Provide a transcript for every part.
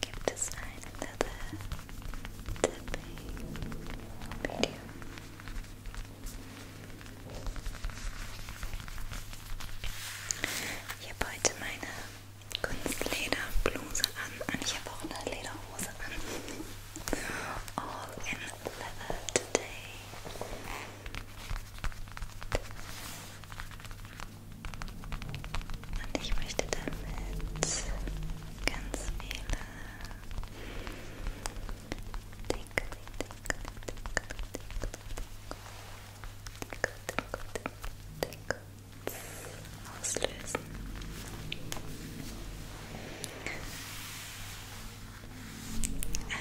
Gibt es ein Tapping-Video? Ich habe heute meine Kunstlederbluse an und ich habe auch eine Lederhose an. All in leather today. Und ich möchte damit ganz viele Dinkel, Dinkel, Dinkel, Dinkel, auslösen.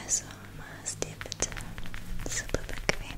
Also mach es dir bitte super bequem.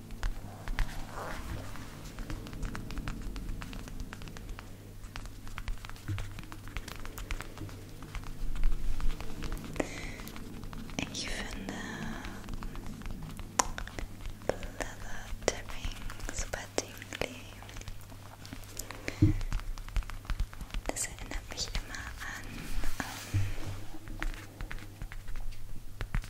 Ich finde Leather Tapping super tingly. Das erinnert mich immer an ähm,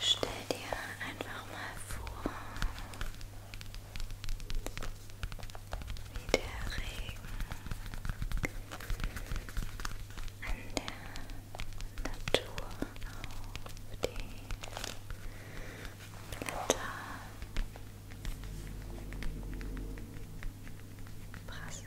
Stell dir einfach mal vor, wie der Regen an der Natur auf die Blätter prasselt.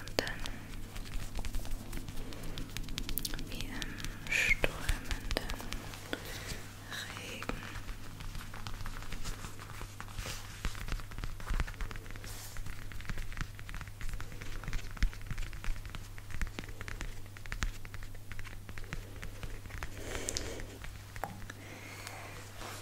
Und dann wie im strömenden Regen.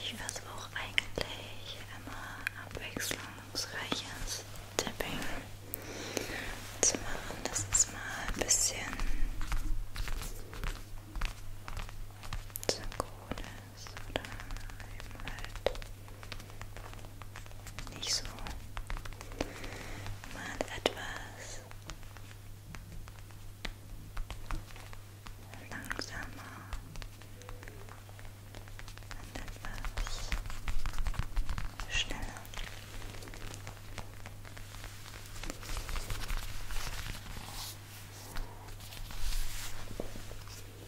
Ich versuche eigentlich immer abwechslungsreiches Tapping zu machen. Das ist mal ein bisschen synchronisch ist oder eben halt nicht so. Man hat etwas langsamer und etwas schneller. Genau.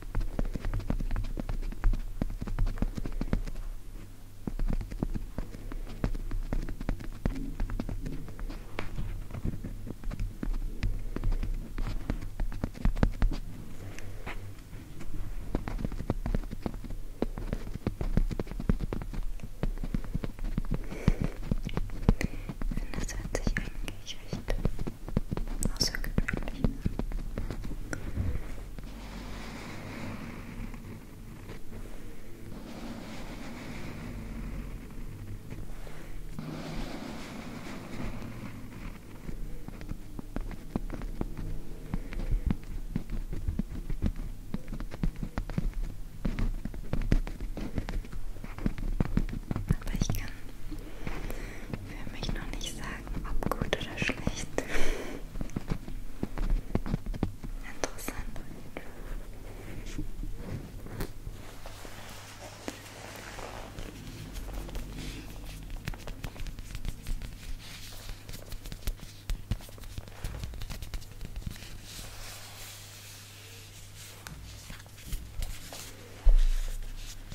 finde, das hört sich eigentlich recht außergewöhnlich an. Aber ich kann für mich noch nicht sagen, sagen, ob gut oder schlecht. Interessant.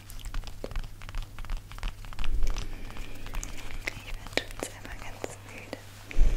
Ich werde schon selber ganz müde. Äh,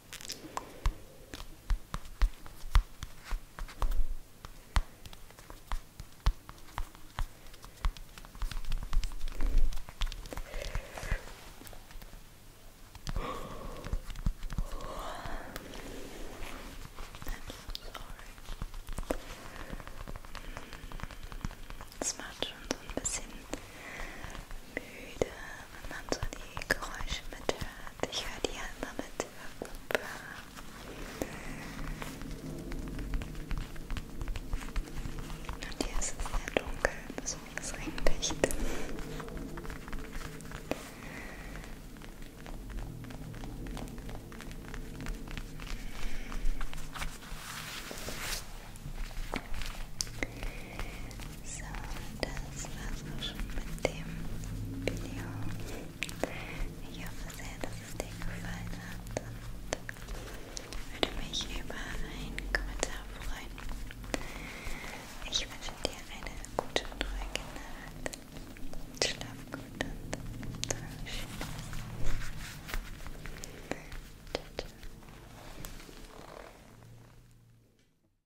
Das macht schon so ein bisschen müde wenn man so die Geräusche mithört. Ich höre die ja immer mit. Und hier ist es sehr dunkel, besonders regndicht. So, das war's auch schon mit dem Video. Ich hoffe sehr, dass es dir gefallen hat und würde mich über einen Kommentar freuen. Ich wünsche dir eine gute und ruhige Nacht. Schlaf gut und träum schön. Ciao, ciao.